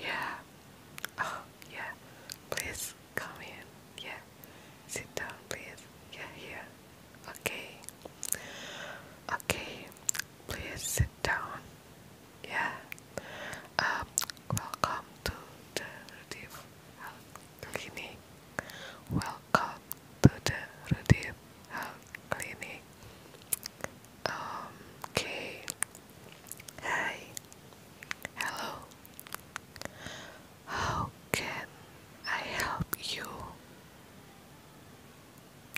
Yeah. Oh, yeah. Please come in. Yeah. Sit down, please. Yeah, here. Okay. Okay. Please sit down. Yeah. Um, welcome to the Rudif Health Clinic. Welcome to the Rudif Health Clinic. Um, okay. Hi. Hello. How can I help you?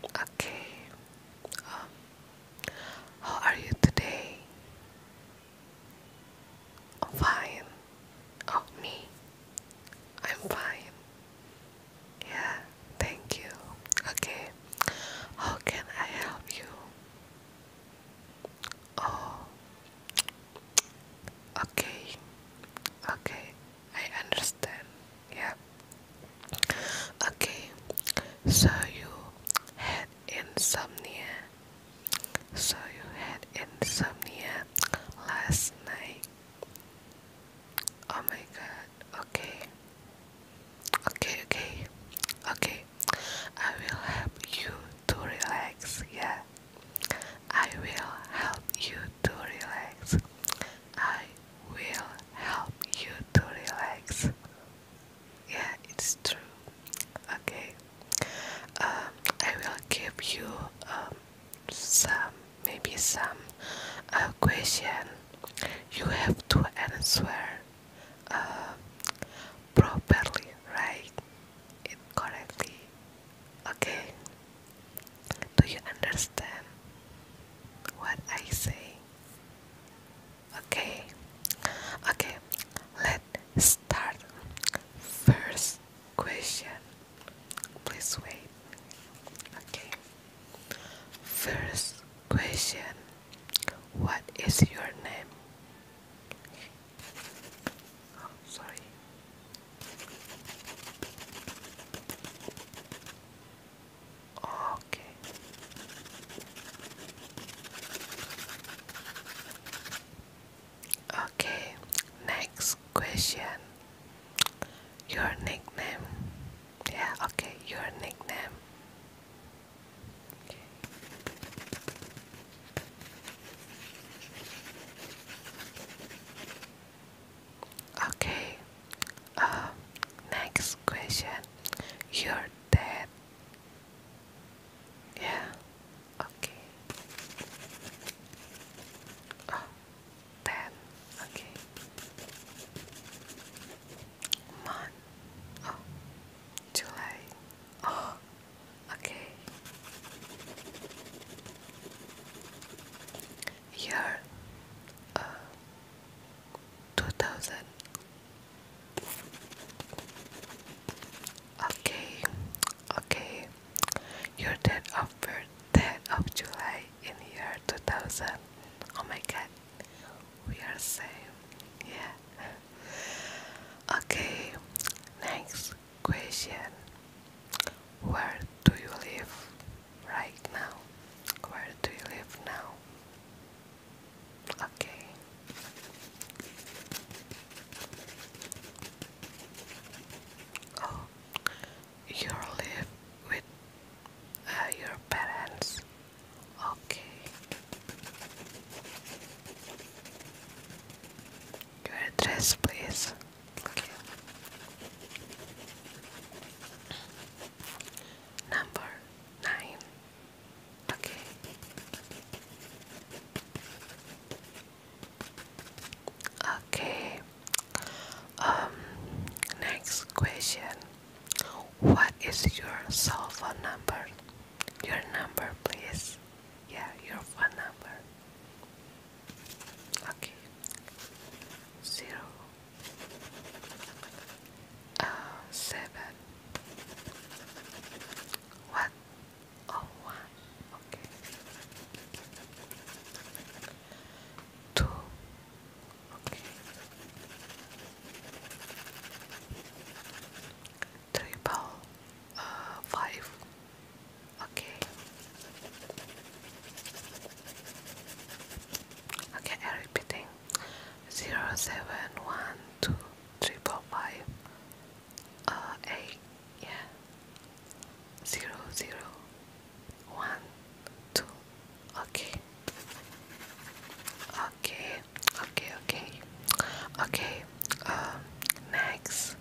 Okay. Um, how are you today? fine. Oh, me. I'm fine. Yeah, thank you. Okay, how can I help you? Oh, okay, okay, I understand. Yeah, okay, so you had insomnia, so you had insomnia last night. Oh my god, okay. Okay, okay, okay. I will help you to relax, yeah. I will help you to relax. I will help you to relax. Yeah, it's true. Okay. Um, I will give you um, some maybe some uh, question you have to answer uh, properly right it correctly okay do you understand what I say okay okay let's start first question Please wait. Okay. First question What is your name? Oh, sorry. Okay. Okay, next question. Your nickname. Yeah, okay, your nickname. Okay. Okay. Uh, next question. You're dead. Yeah. Okay. Oh, ten. Okay. Month. Oh, July. Oh, okay. Year. Uh, Two thousand. Okay, okay. Your date of birth, dead of July in year 2000. Oh my god, we are same. Yeah. Okay, next question. Where do you live right now? Where do you live now? Okay. Oh, you live with uh, your parents. Okay. Your address, please. Okay. Number nine. Okay. Okay. Um, next question. What is your cell phone number? Your number, please. Yeah, your phone number. Okay. Zero. Uh, seven. Oh, one. Okay two. Okay. Triple uh, Okay. Okay, I'm repeating. Zero seven one two triple five. Uh, eight. Yeah. Zero zero one, two, okay, okay, okay, okay, okay. Um, next,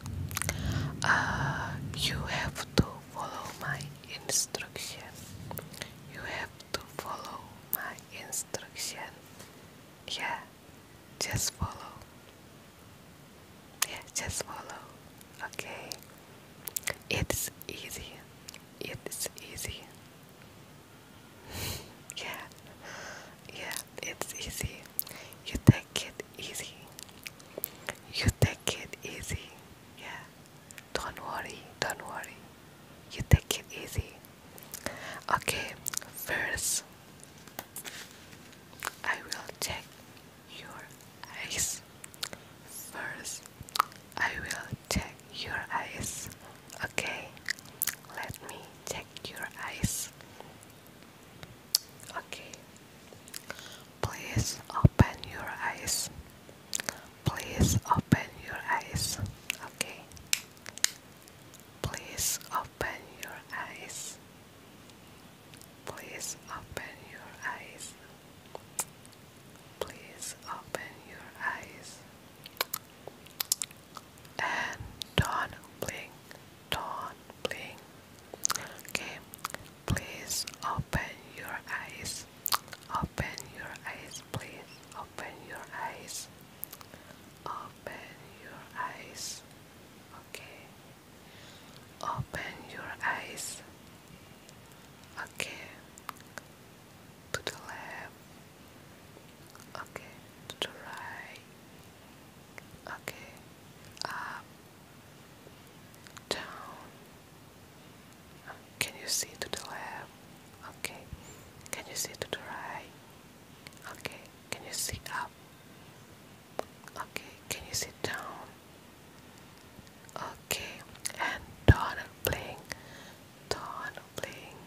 uh, you have to follow my instruction. You have to follow my instruction. Yeah, just follow. Yeah, just follow. Okay. It's easy. It's easy. yeah. Yeah, it's easy. You take it easy. You take it easy. Yeah. Don't worry. Don't worry. You take it easy. Okay, first I will check your eyes. First, I will check your eyes. Okay, let me check your eyes. Okay, please open your eyes. Please open your eyes. Okay, please open your eyes. Please open your eyes. Please open your eyes. And don't blink. Don't blink. Okay. Please open your eyes. Open your eyes, please. Open your eyes. Open your eyes. Okay. Open your eyes. Okay. To the left. Okay. To the right. Okay. Up. Down. Can you see to the left? Okay. Can you see to the right? Okay. Can you see up? Okay, can you sit down? Okay, and Dawn playing, Dawn playing,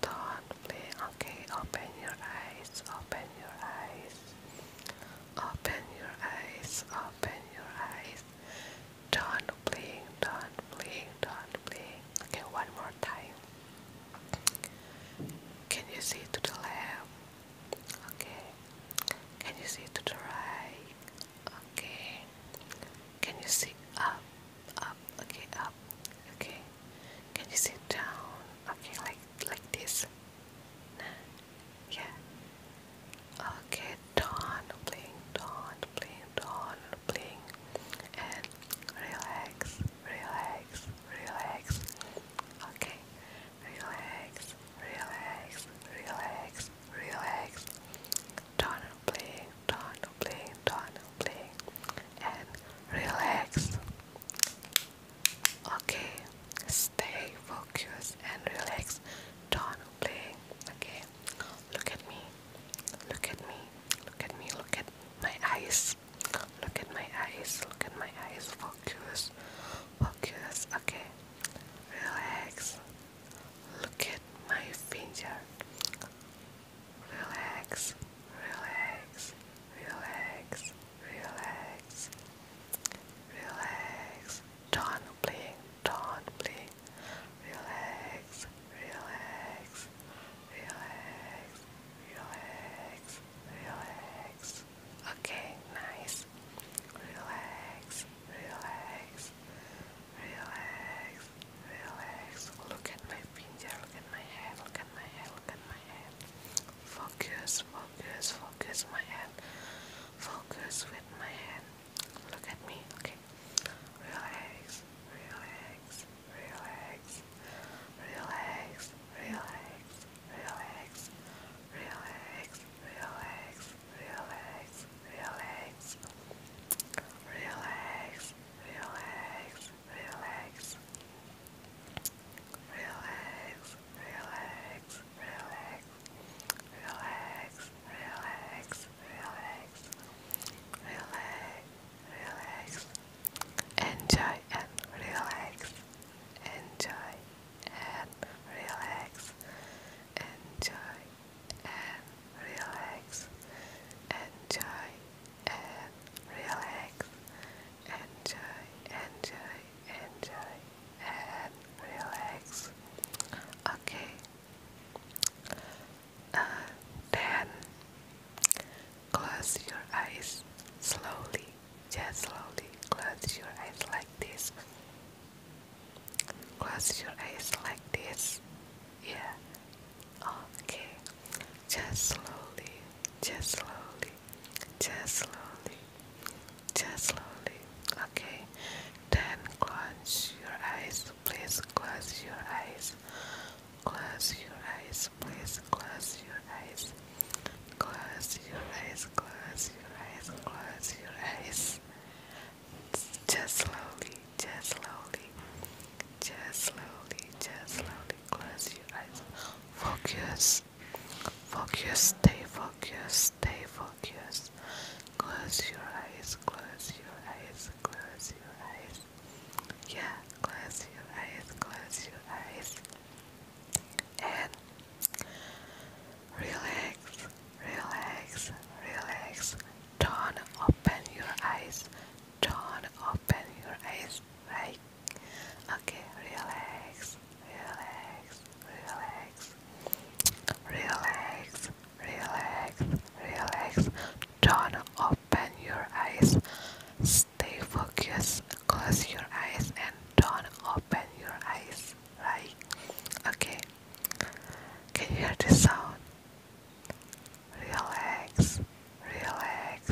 Dawn playing. Okay, open your eyes, open your eyes, open your eyes, open your eyes. Dawn playing, Dawn playing, Dawn playing. Okay, one more time. Can you see to the left? Okay. Can you see to the right? Okay. Can you see up? Up. Okay, up. Okay. Can you see down? Okay, like like this. Nah. Yeah. Okay, dawn, blink, dawn, blink, dawn, blink. And relax, relax, relax. Okay. Relax, relax, relax, relax. Turn and play, turn and play, and relax. Okay, stay focused and relax. Turn and Okay, look at me. Look at me. Look at me. Look at my eyes. Look at my eyes. Look at my eyes. Focus. Focus. Okay. Relax. Look at my finger. Relax. Relax. Relax. Relax. Relax. Don't blink. Don't blink. Relax. Relax. Relax. Relax. Relax. Okay, nice. Relax, relax, relax, relax. Look at my finger, look at my hand, look at my hand, look at my hand. Focus, focus, focus my hand. Focus with my hand. Look at me, okay. Relax, relax, relax, relax, relax relax, relax, relax, relax, relax, relax, relax, relax. Relax, relax, relax, relax, relax, relax, relax, relax, enjoy and relax enjoy and relax, enjoy and relax, enjoy and relax, enjoy, enjoy, enjoy and relax. Okay. Uh, then close your eyes slowly just slowly close your eyes like this. Close your eyes like this. Yeah. Okay. Just slowly. Just slowly. Just slowly. Just slowly. Okay. Then close your eyes. Please close your eyes. Close your eyes eyes, please close your eyes. Close your eyes, close your eyes, close your eyes. Just slowly, just slowly, just slowly, just slowly. Close your eyes. Focus, focus, stay focused, stay focused. Close your eyes, close your eyes, close your eyes. Yeah, close your eyes, close your eyes and relax, relax, relax. Don't open your eyes. Don't open your eyes, right? Okay, relax, relax, relax, relax, relax, relax. Don't open your eyes stay focused close your eyes and don't open your eyes right okay can you hear the sound relax relax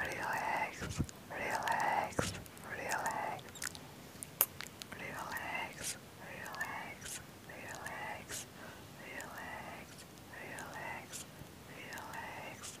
relax relax relax relax relax relax relax relax relax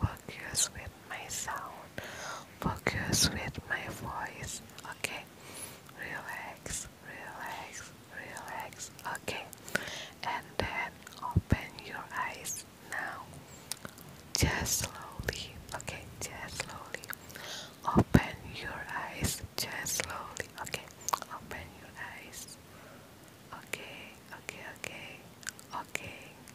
focus with my sound, focus with my voice, okay? Relax, relax, relax, okay? And then open your eyes now. Just slowly, okay? Just slowly. Open your eyes, just slowly, okay? Open your eyes. Okay, okay, okay, okay,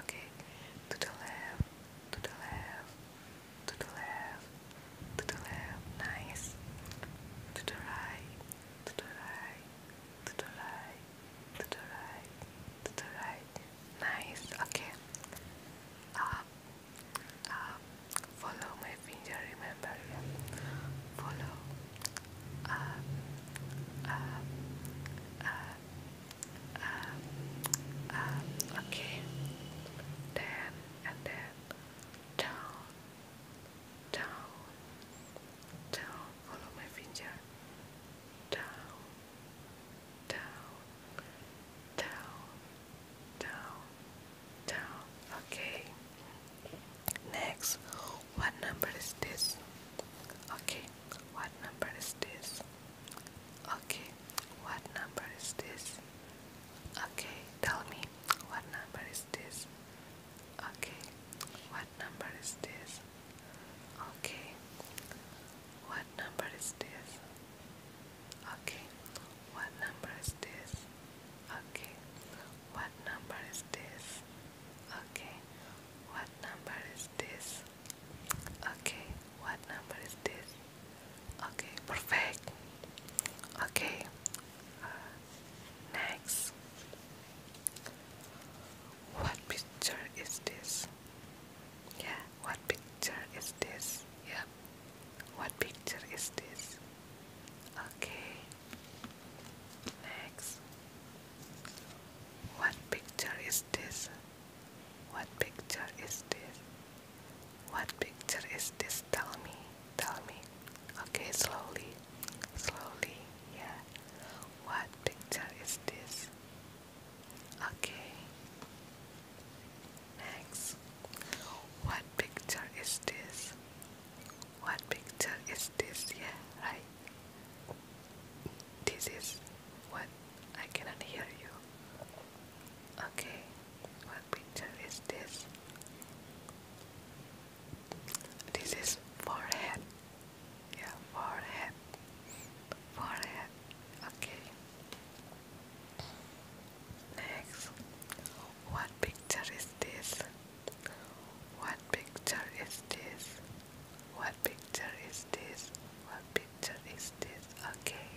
Okay, to the left, to the left, to the left, to the left, nice. To the right, to the right, to the right, to the right, to the right, nice. Okay, up, ah. up, ah. follow my finger, remember, follow, um, um, okay, then and then down, down, down, follow my finger, down, down, down, down, down, okay. Next, what number is this? Okay, what number is this? Okay, what number is this? Okay, tell me, what number is this? Okay, what number is this? Okay, what number is this? Okay, what number is this? Okay, what number is this? Okay, what number is this? Okay, what number is this? Okay, perfect. Okay, next. What picture is this? Yeah, what picture is this? Yep. What picture is this? Okay. Next, what picture is this? What picture is this? What picture is this? Tell me, tell me. Okay, slowly, slowly, yeah. What picture is this? Okay. Next, what picture is this? What picture is this? Yeah, right. This is what I cannot hear you. Okay, what picture is this? This is forehead. Yeah, forehead. Forehead. Okay. Next, what picture is this? What picture is this? What picture is this? What picture is this? Okay.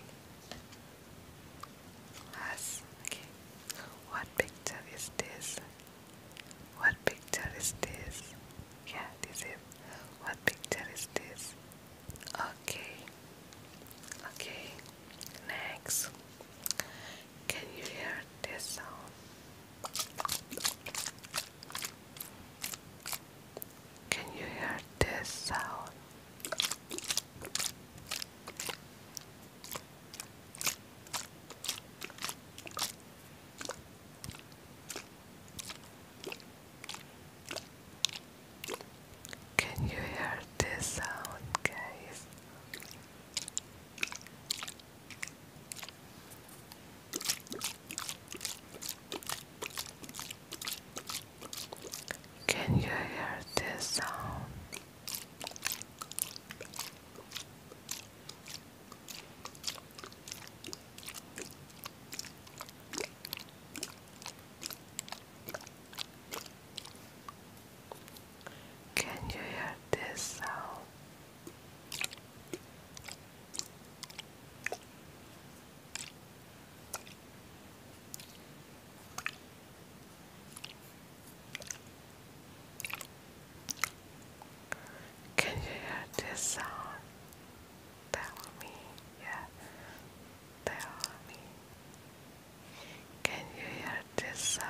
Yes. Okay. What picture is this? What picture is this? Yeah, this is. What picture is this? Okay. Okay. Next. Can you hear this sound? Can you hear this sound? Can you hear this sound, guys? Can you hear this sound? Can you hear this sound? Can you hear this sound? Tell me, yeah. Tell me. Can you hear this sound?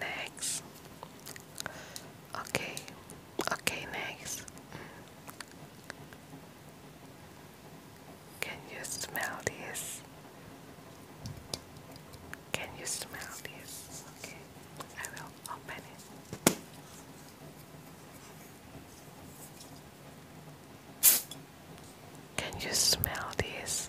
next okay okay next can you smell this can you smell this okay I will open it can you smell this?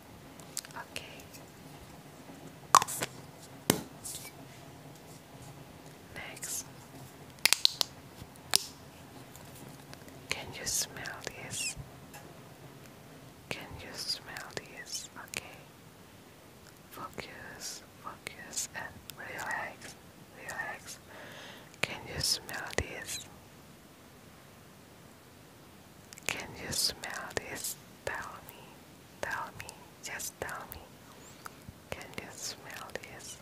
Okay. Next. Can you smell this? Can you smell this? Okay. Focus, focus, and relax, relax. Can you smell this? Can you smell this? Tell me, tell me, just tell me. Can you smell this?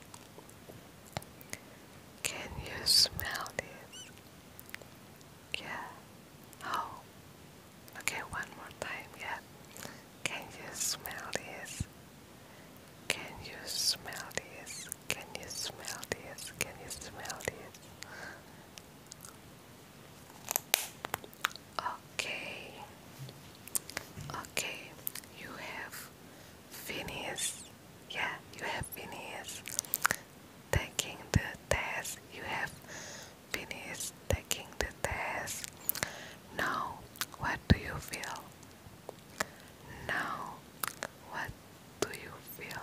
Can you smell this? Yeah. Oh. Okay, one more time. Yeah. Can you smell this? Can you smell this? Can you smell this? Can you smell this? Okay, okay, you have finished. Yeah, you have finished taking the test. You have finished taking the test. Now, what do you feel? Now, what do you feel?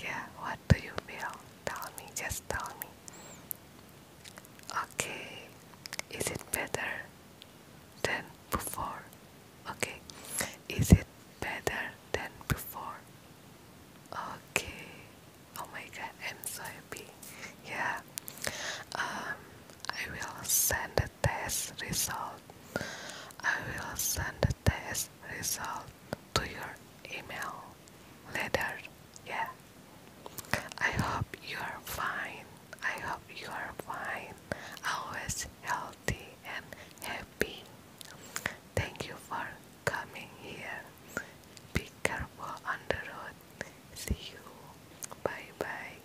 Yeah, what do you feel? Tell me, just tell me. Okay, is it better than before? Okay, is it better than before? Okay, oh my i Yeah, um, I will send the test result. I will send the test result to your email later. Yeah. I hope you are fine. I hope you are fine. Always healthy and happy. Thank you for coming here. Be careful on the road. See you. Bye bye.